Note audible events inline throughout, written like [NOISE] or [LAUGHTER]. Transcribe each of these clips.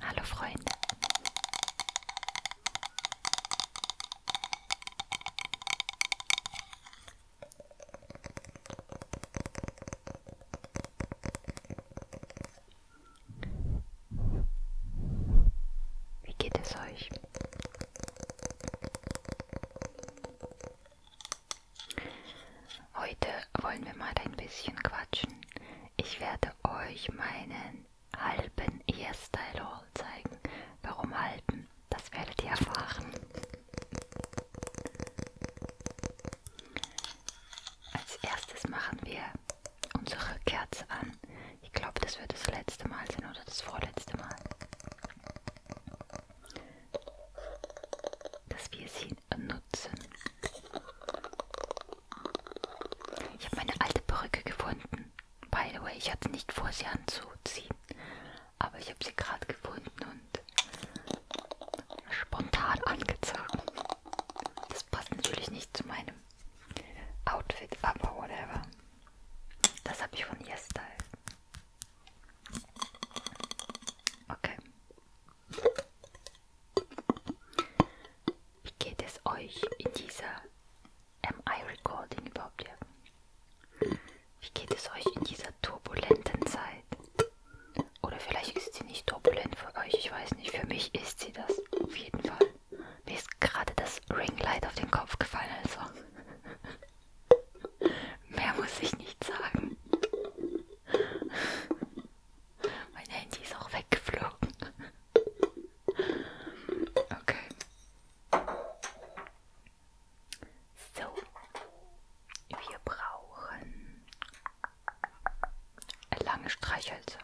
Hallo Freunde. Wie geht es euch? Heute wollen wir mal ein bisschen quatschen. Ich werde euch meinen halben Hairstyle Haul zeigen. Warum halben? Das werdet ihr erfahren. Als erstes machen wir unsere Kerze an. Ich glaube, das wird das letzte Mal sein oder das vorletzte Mal dass wir sie nutzen. Ich habe meine alte Perücke gefunden. By the way, ich hatte nicht vor, sie anzuziehen. Aber ich habe sie gerade gefunden und spontan angezogen. Das passt natürlich nicht zu meinem Outfit, aber whatever. Das habe ich von Yesterday. Okay. Wie geht es euch in dieser MI-Recording überhaupt? Hier? Wie geht es euch in dieser turbulenten Zeit? Oder vielleicht ist sie nicht turbulent für euch, ich weiß nicht. Für mich ist sie das, auf jeden Fall. Mir ist gerade das Ringlight auf den Kopf gefallen, also. Mehr muss ich nicht sagen. Mein Handy ist auch weggeflogen. Okay. So. Wir brauchen lange Streichhölzer,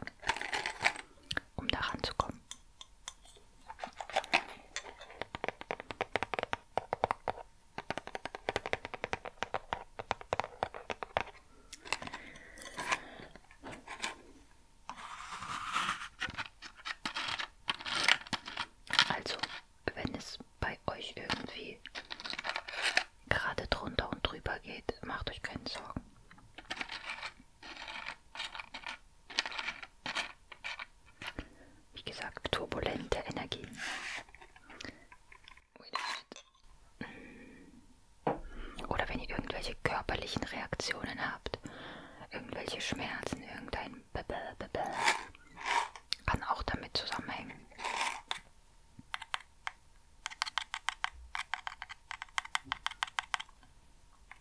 um daran zu kommen. Also, wenn es bei euch irgendwie gerade drunter und drüber geht, macht euch keine Sorgen. Wie gesagt, turbulente Energien. Hm. Oder wenn ihr irgendwelche körperlichen Reaktionen habt, irgendwelche Schmerzen, irgendein kann auch damit zusammenhängen.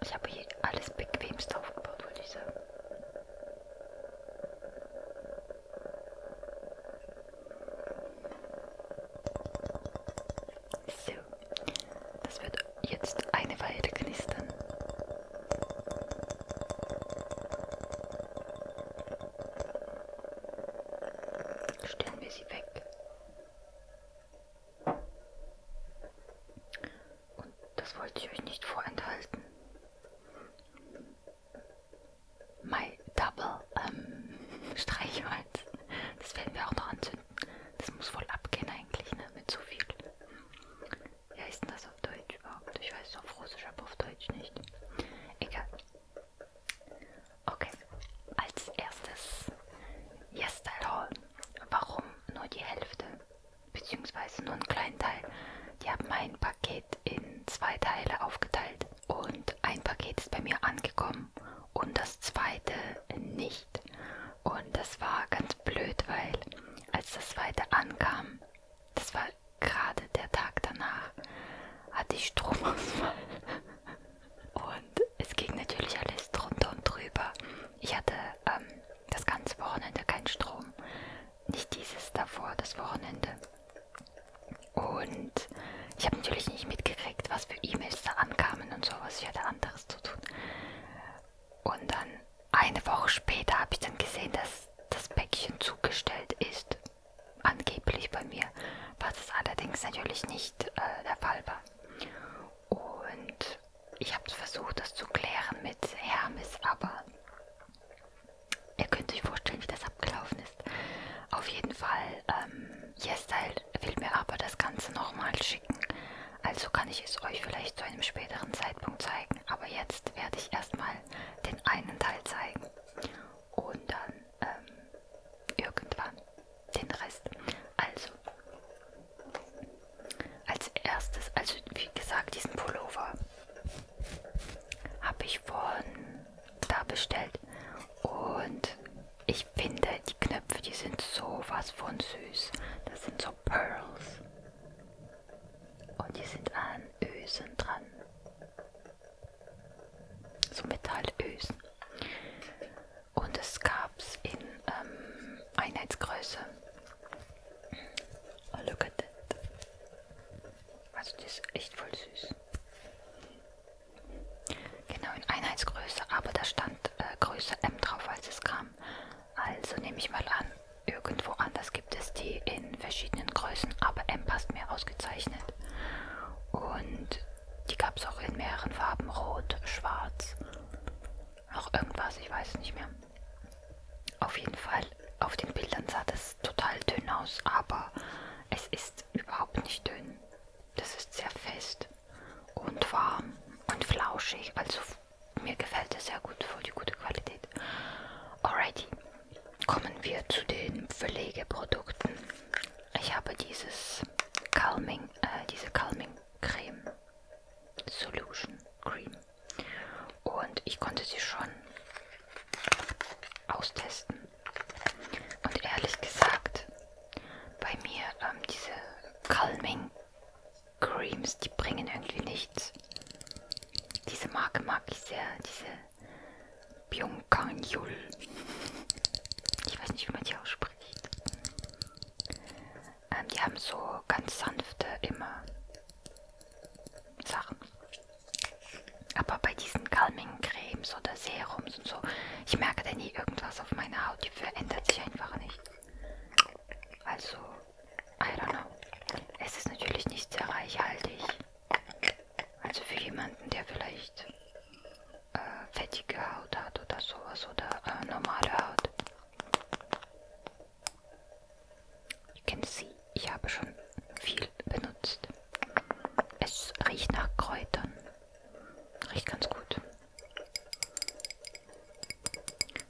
Ich habe hier alles bequemst aufgebaut, würde ich sagen. So, das wird jetzt eine Weile knistern. Stellen wir sie weg. Und das wollte ich euch nicht vorenthalten. My Double ähm, [LAUGHS] Streichholz. Das werden wir auch noch anzünden. Das muss voll abgehen eigentlich, ne? Mit so viel wie heißt denn das auf Deutsch überhaupt? Ich weiß es auf Russisch, aber auf Deutsch nicht. Egal. Okay, als erstes Yesterol. Warum nur die Hälfte? Beziehungsweise nur einen kleinen Teil. Die haben mein Paket in zwei Teile aufgeteilt. Und ein Paket ist bei mir angekommen und das zweite nicht. Und das war ganz blöd, weil als das zweite ankam, das war gerade der Tag danach hatte ich Stromausfall. Und es ging natürlich alles drunter und drüber. Ich hatte ähm, das ganze Wochenende keinen Strom. Nicht dieses davor, das Wochenende. Und ich habe natürlich nicht mitgekriegt, was für E-Mails da ankamen und sowas. Ich hatte anderes zu tun. Und dann eine Woche später habe ich dann gesehen, dass das Päckchen zugestellt ist. Angeblich bei mir, was es allerdings natürlich nicht äh, der Fall war. Und ich habe versucht, das zu klären mit Hermes, aber ihr könnt euch vorstellen, wie das abgelaufen ist. Auf jeden Fall, ähm, YesStyle will mir aber das Ganze nochmal schicken. Also kann ich es euch vielleicht zu einem späteren Zeitpunkt zeigen. Aber jetzt werde ich erstmal den einen Teil zeigen und dann ähm, irgendwann den Rest. Also, als erstes, also wie gesagt, diesen Pullover habe ich von da bestellt und ich finde die Knöpfe, die sind sowas von süß. Das sind so Pearls. Und die sind an Ösen dran. So Metallösen. Und es gab es in ähm, Einheitsgröße. Oh, look at that. Also, die ist echt voll süß. Genau, in Einheitsgröße, aber da stand äh, Größe M drauf, als es kam. Also nehme ich mal an, irgendwo anders gibt es die in verschiedenen Größen, aber M passt mir ausgezeichnet. Und die gab es auch in mehreren Farben, rot, schwarz, noch irgendwas, ich weiß nicht mehr. Auf jeden Fall, auf den Bildern sah das total dünn aus, aber es ist überhaupt nicht dünn. Das ist sehr fest und warm und flauschig, also mir gefällt es sehr gut, voll die gute Qualität. Alrighty, kommen wir zu den Pflegeprodukten. Ich habe dieses Calming, äh, diese Calming Creme Solution Cream und ich konnte sie schon austesten. Und ehrlich gesagt, bei mir ähm, diese Calming Creams, die bringen irgendwie nichts. Diese Marke mag ich sehr, diese Byung-Kang Yul. Ich weiß nicht, wie man die ausspricht. Ähm, die haben so ganz sanfte immer Sachen. Aber bei diesen Calming Cremes oder Serums und so, ich merke da nie irgendwas auf meiner Haut. Die verändert sich einfach nicht. Also I don't know. Es ist natürlich nicht sehr reichhaltig. Also für jemanden, der vielleicht äh, fettige Haut hat oder sowas oder äh, normale Haut. You can see, ich habe schon viel benutzt. Es riecht nach Kräutern. Riecht ganz gut.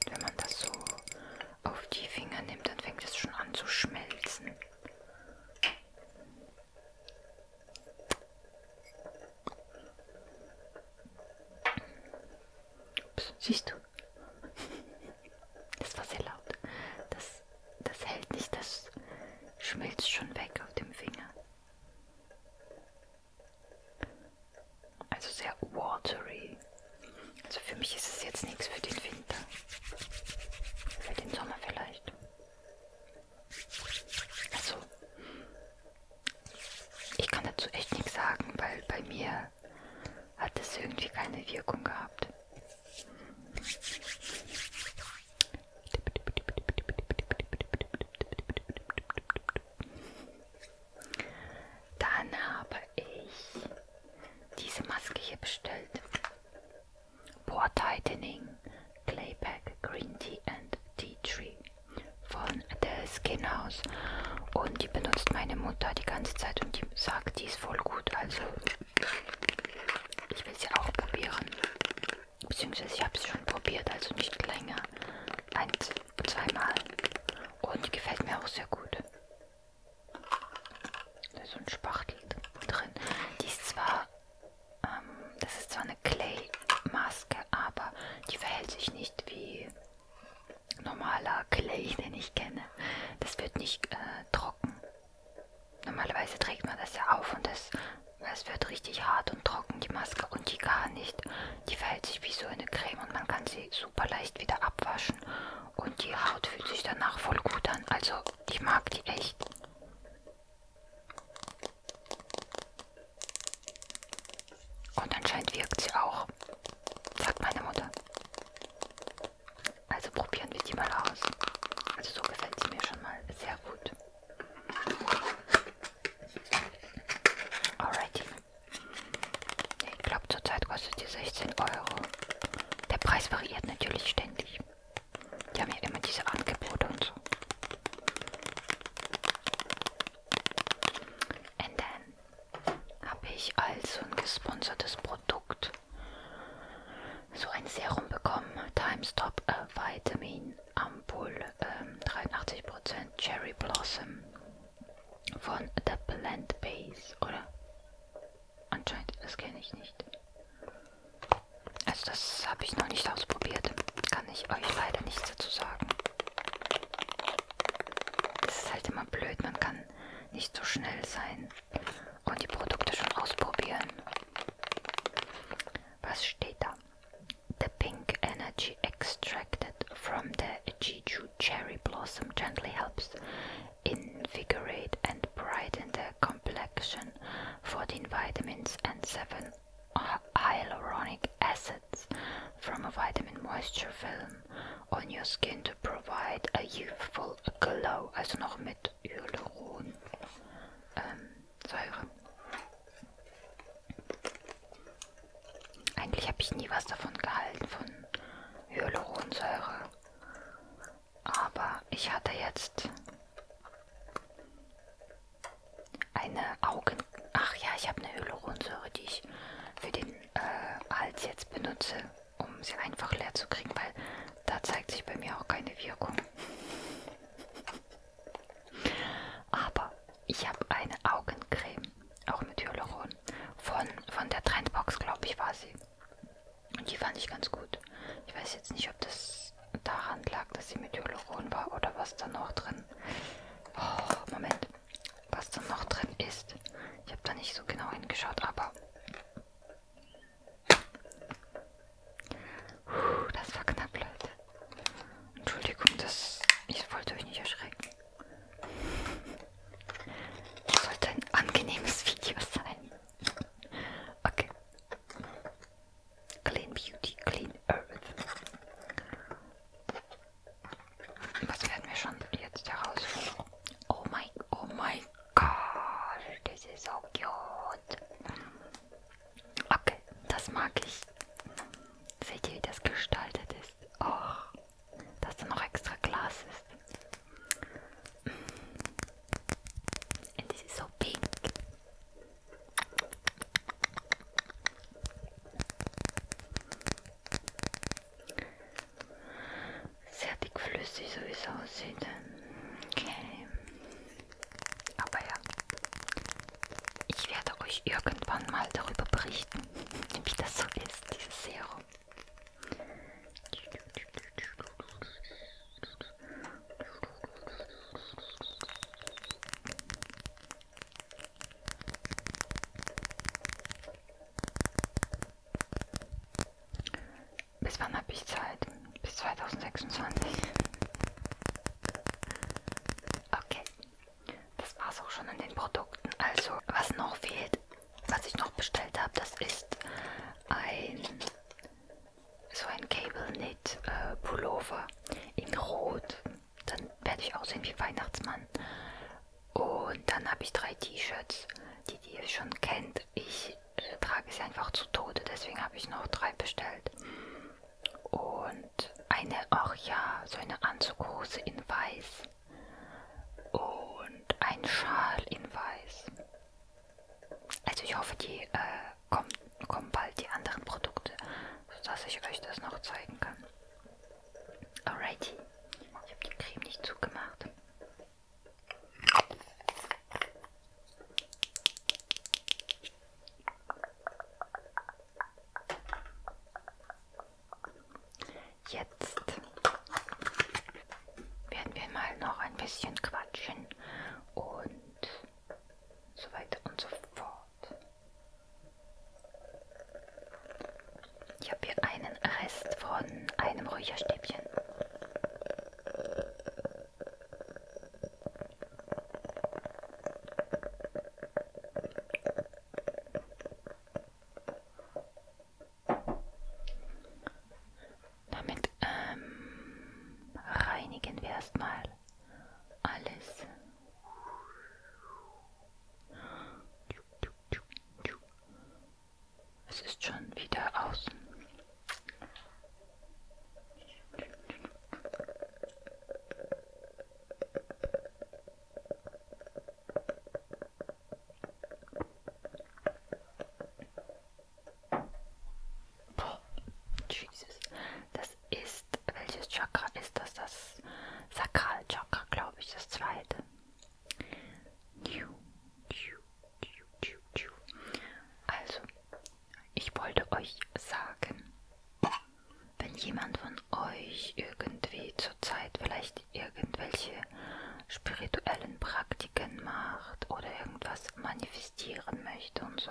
Wenn man das so auf die Finger nimmt, dann fängt es schon an zu schmelzen. Ups, siehst du? Das war sehr laut. Das, das hält nicht, das schmilzt schon weg auf dem Finger. Also sehr watery. Also für mich ist es jetzt nichts für den Winter. Für den Sommer vielleicht. Also, ich kann dazu echt nichts sagen, weil bei mir hat es irgendwie keine Wirkung gehabt. Dann habe ich diese Maske hier bestellt. Pore Tightening Clayback Green Tea and Tea Tree von The Skin House. Und die benutzt meine Mutter die ganze Zeit und die sagt, die ist voll gut. Also ich will sie auch probieren. Beziehungsweise ich habe sie schon probiert, also nicht länger. Ein, zweimal. Und die gefällt mir auch sehr gut. Da ist so ein Spachtel drin. Die ist zwar, ähm, das ist zwar eine Clay-Maske, aber die verhält sich nicht wie normaler Clay, den ich kenne. Das wird nicht äh, trocken. Normalerweise trägt man das ja auf und das, das wird richtig hart und trocken, die Maske. Und die gar nicht. Die verhält sich wie so eine Creme und man kann sie super leicht wieder abwaschen. Und die Haut fühlt sich danach voll gut an. Also ich mag die echt. Und anscheinend wirkt sie auch, sagt meine Mutter. Also probieren wir die mal aus. Also so gefällt sie mir schon mal sehr gut. Alrighty. Ich glaube, zurzeit kostet die 16 Euro. Der Preis variiert natürlich ständig. Die haben ja immer diese Angebote und so. Und dann habe ich also ein gesponsertes Produkt. So ein Serum bekommen. Times Top äh, Vitamin Ampoule ähm, 83% Cherry Blossom von The Plant Base, oder? Anscheinend, das kenne ich nicht. Also das habe ich noch nicht ausprobiert. Kann ich euch leider nichts dazu sagen. Das ist halt immer blöd, man kann nicht so schnell sein und die Produkte schon ausprobieren. Was steht da? The Pink Energy Extra from the Jeju cherry blossom gently helps invigorate and brighten the complexion. 14 vitamins and 7 hyaluronic acids from a vitamin moisture film on your skin to provide a youthful glow, also nog met hyaluronsäure. Um, Eigentlich habe ich nie was davon gehalten, von Hyaluronsäure. Aber ich hatte jetzt eine Augen... Ach ja, ich habe eine Hyaluronsäure, die ich für den äh, Hals jetzt benutze, um sie einfach leer zu kriegen, weil da zeigt sich bei mir auch keine Wirkung. Aber ich habe eine Augencreme, auch mit Hyaluron von, von der Trendbox, glaube ich, war sie. Und die fand ich ganz gut. Ich weiß jetzt nicht, ob das daran lag, dass sie mit Hyaluron war oder was da noch drin. Oh, Moment. Was da noch drin ist. Ich habe da nicht so genau hingeschaut, aber... Puh, das war knapp, Leute. Entschuldigung, das... Ich wollte euch nicht erschrecken. Das sollte ein angenehmes Video sein. Okay. Clean Beauty, Clean Earth. Was werden wir schon jetzt herausfinden? Oh mein, oh mein Gott, das ist so cute. Okay, das mag ich. Seht ihr, wie das gestaltet ist? Oh dass da noch extra Glas ist. Und es ist so pink. Sehr dickflüssig, so wie es aussieht. Okay. Aber ja, ich werde euch irgendwann mal darüber berichten, [LAUGHS] wie das so ist ist dieses Serum. Bis wann habe ich Zeit? Bis 2026. Okay. Das war es auch schon an den Produkten. Also, was noch fehlt, was ich noch bestellt habe, das ist ein so ein Cable Knit äh, Pullover in Rot. Dann werde ich aussehen wie Weihnachtsmann. Und dann habe ich drei T-Shirts, die, die ihr schon kennt. Ich äh, trage sie einfach zu Tode, deswegen habe ich noch drei bestellt. Und eine, ach ja, so eine Anzughose in Weiß und ein Schal in weiß. Also ich hoffe, die äh, kommen, kommen bald die anderen Produkte, sodass ich euch das noch zeigen kann. Alrighty. Ich habe die Creme nicht zugemacht. Jetzt werden wir mal noch ein bisschen quatschen und so weiter und so fort. Ich habe hier einen Rest von einem Räucherstäbchen. Damit ähm, reinigen wir erstmal alles. Es ist schon wieder außen. Boah, Jesus. Das ist, welches Chakra ist das? Das Sakralchakra, glaube ich, das zweite. Also, ich wollte euch sagen, wenn jemand von euch irgendwie zurzeit vielleicht irgendwelche spirituellen Praktiken macht oder irgendwas manifestieren möchte und so.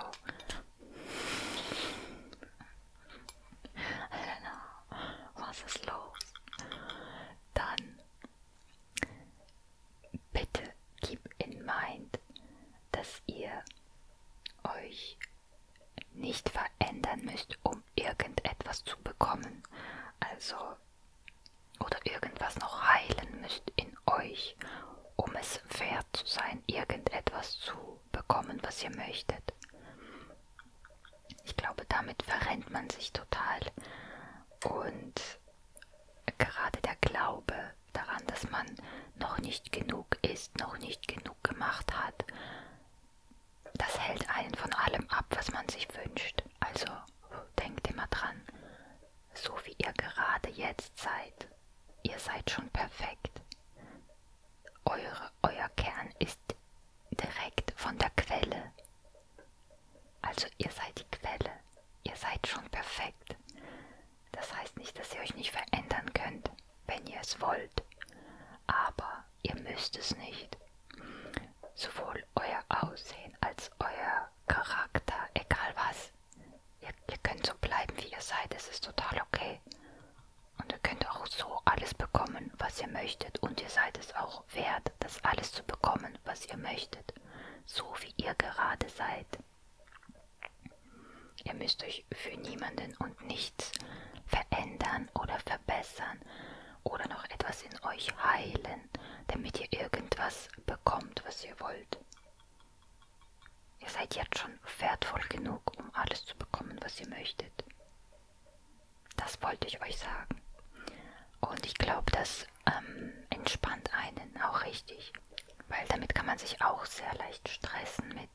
Know, was ist los? Dann bitte keep in mind, dass ihr euch nicht verändern müsst, um irgendetwas zu bekommen. Also, oder irgendwas noch heilen müsst in euch, um es wert zu sein, irgendetwas zu bekommen, was ihr möchtet. Ich glaube, damit verrennt man sich total. Und gerade der Glaube daran, dass man noch nicht genug ist, noch nicht genug gemacht hat, das hält einen von allem ab, was man sich wünscht. Also denkt immer dran, so wie ihr gerade jetzt seid, ihr seid schon perfekt. Eure, euer Kern ist direkt von der Quelle. Also ihr seid die Quelle. Ihr seid schon perfekt. Das heißt nicht, dass ihr euch nicht verändern könnt wenn ihr es wollt, aber ihr müsst es nicht. Sowohl euer Aussehen als euer Charakter, egal was. Ihr, ihr könnt so bleiben, wie ihr seid, es ist total okay. Und ihr könnt auch so alles bekommen, was ihr möchtet. Und ihr seid es auch wert, das alles zu bekommen, was ihr möchtet. So wie ihr gerade seid. Ihr müsst euch für niemanden und nichts verändern oder ver verbessern oder noch etwas in euch heilen, damit ihr irgendwas bekommt, was ihr wollt. Ihr seid jetzt schon wertvoll genug, um alles zu bekommen, was ihr möchtet. Das wollte ich euch sagen. Und ich glaube, das ähm, entspannt einen auch richtig. Weil damit kann man sich auch sehr leicht stressen mit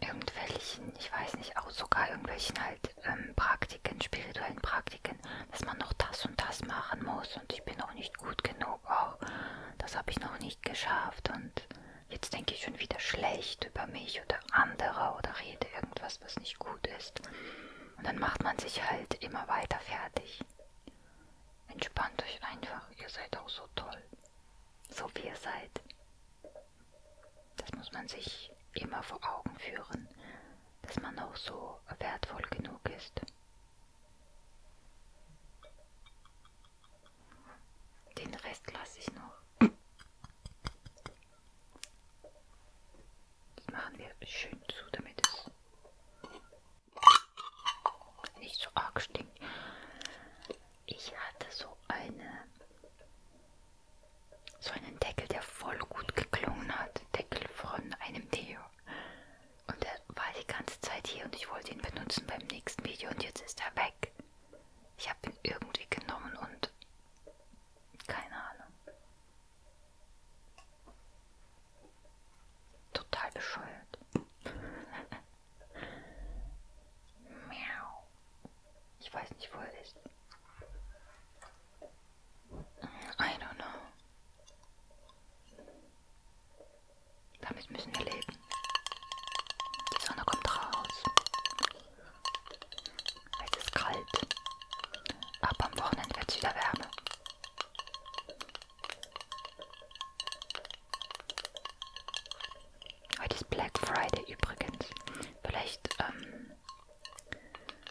irgendwelchen, ich weiß nicht, auch sogar irgendwelchen halt ähm, Praktiken, spirituellen Praktiken, dass man noch das und das machen muss und ich bin noch nicht gut genug, oh, das habe ich noch nicht geschafft und jetzt denke ich schon wieder schlecht über mich oder andere oder rede irgendwas, was nicht gut ist. Und dann macht man sich halt immer weiter fertig. Entspannt euch einfach, ihr seid auch so toll, so wie ihr seid. Das muss man sich immer vor Augen führen, dass man auch so wertvoll genug ist. Den Rest lasse ich noch. Das machen wir schön zu, damit es nicht so arg stinkt ich hatte so eine so einen Deckel, der voll gut geklungen hat. Deckel von einem Deo. Und der war die ganze Zeit hier und ich wollte ihn benutzen beim nächsten Video und jetzt ist er weg. Ich habe ihn irgendwie genommen und keine Ahnung. Total bescheuert. [LAUGHS] Miau. Ich weiß nicht, wo er ist. I don't know. Damit müssen wir leben. Die Sonne kommt raus. Es ist kalt. Aber am Wochenende wird es wieder Wärme. Heute ist Black Friday übrigens. Vielleicht ähm,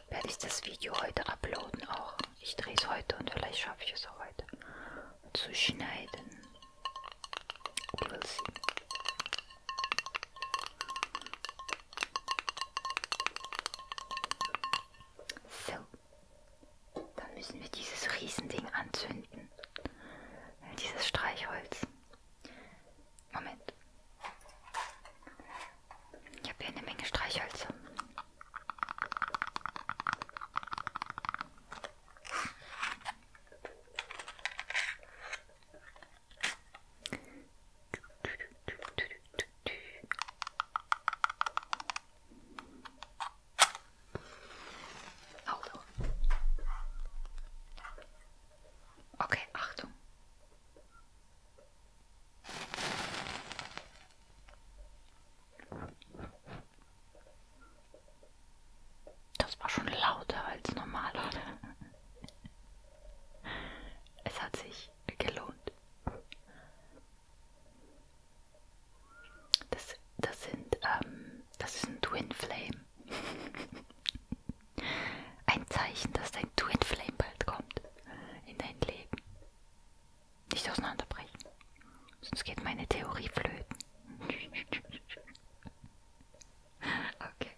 werde ich das Video heute uploaden auch. Ich drehe es heute und vielleicht schaffe ich es auch heute zu schneiden. We'll see. So, dann müssen wir dieses Riesending anzünden. Dieses Streichholz. Moment. Ich habe hier eine Menge Streichhölzer. Hallo. Okay, Achtung. Das war schon lauter als normal, oder? Es hat sich gelohnt. Das, das sind, ähm, das ist ein Twin Flame. Ein Zeichen, dass dein Twin Flame bald kommt in dein Leben. Nicht auseinanderbrechen. Sonst geht meine Theorie flöten. [LAUGHS] okay.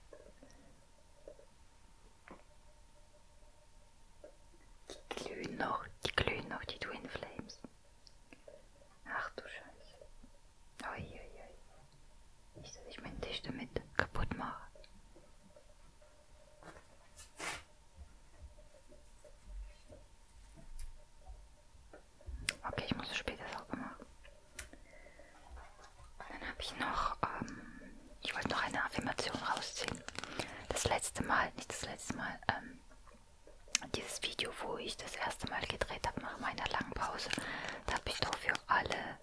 Die glühen noch, die glühen noch, die Twin Flames. Ach du Scheiße. Uiuiui. Ui. Nicht, dass ich meinen Tisch damit kaputt mache. Okay, ich muss es später sauber machen. Dann habe ich noch, ähm, ich wollte noch eine Affirmation rausziehen. Das letzte Mal, nicht das letzte Mal, ähm, dieses Video, wo ich das erste Mal gedreht habe nach meiner langen Pause, da habe ich doch für alle,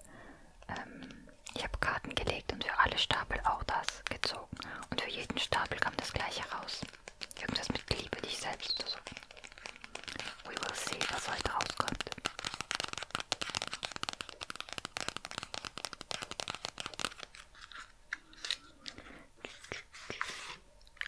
ähm, ich habe Karten gelegt und für alle Stapel auch das gezogen. Und für jeden Stapel kam das gleiche raus. Irgendwas mit Liebe dich selbst oder so. We will see, was heute rauskommt.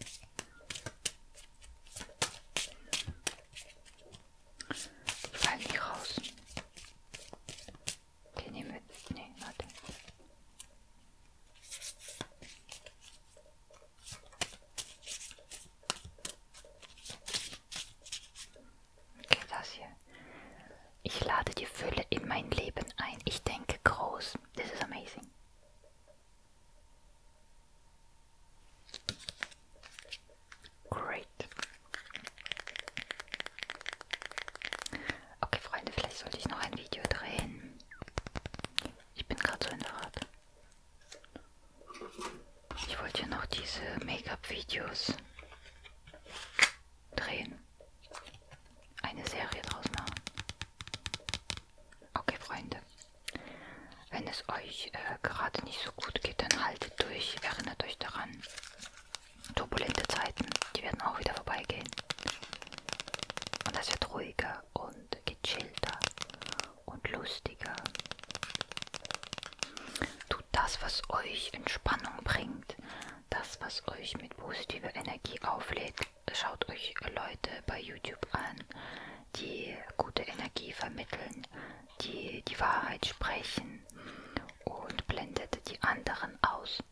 Die fallen nicht raus. Die nehmen wir. Nee, warte. Okay, das hier. Ich lade die Fülle in mein Leben ein. Ich denke groß. This is amazing. Great. Okay, Freunde, vielleicht sollte ich noch ein Video drehen. Ich bin gerade so in der Art. Ich wollte ja noch diese Make-up-Videos drehen. Eine Serie draus machen. Okay, Freunde. Wenn es euch äh, gerade nicht so gut geht, dann haltet durch. Erinnert euch daran. Turbulente Zeiten, die werden auch wieder vorbeigehen. Und das wird ruhiger und gechillter und lustiger. Tut das, was euch Entspannung bringt. Das, was euch mit positiver Energie auflädt. Schaut euch Leute bei YouTube an, die gute Energie vermitteln, die die Wahrheit sprechen und blendet die anderen aus.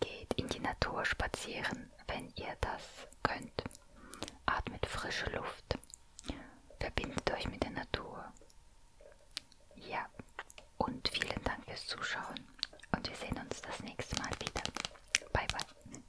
Geht in die Natur spazieren, wenn ihr das könnt. Atmet frische Luft. Verbindet euch mit der Natur. Ja, und vielen Dank fürs Zuschauen. Und wir sehen uns das nächste Mal wieder. Bye, bye.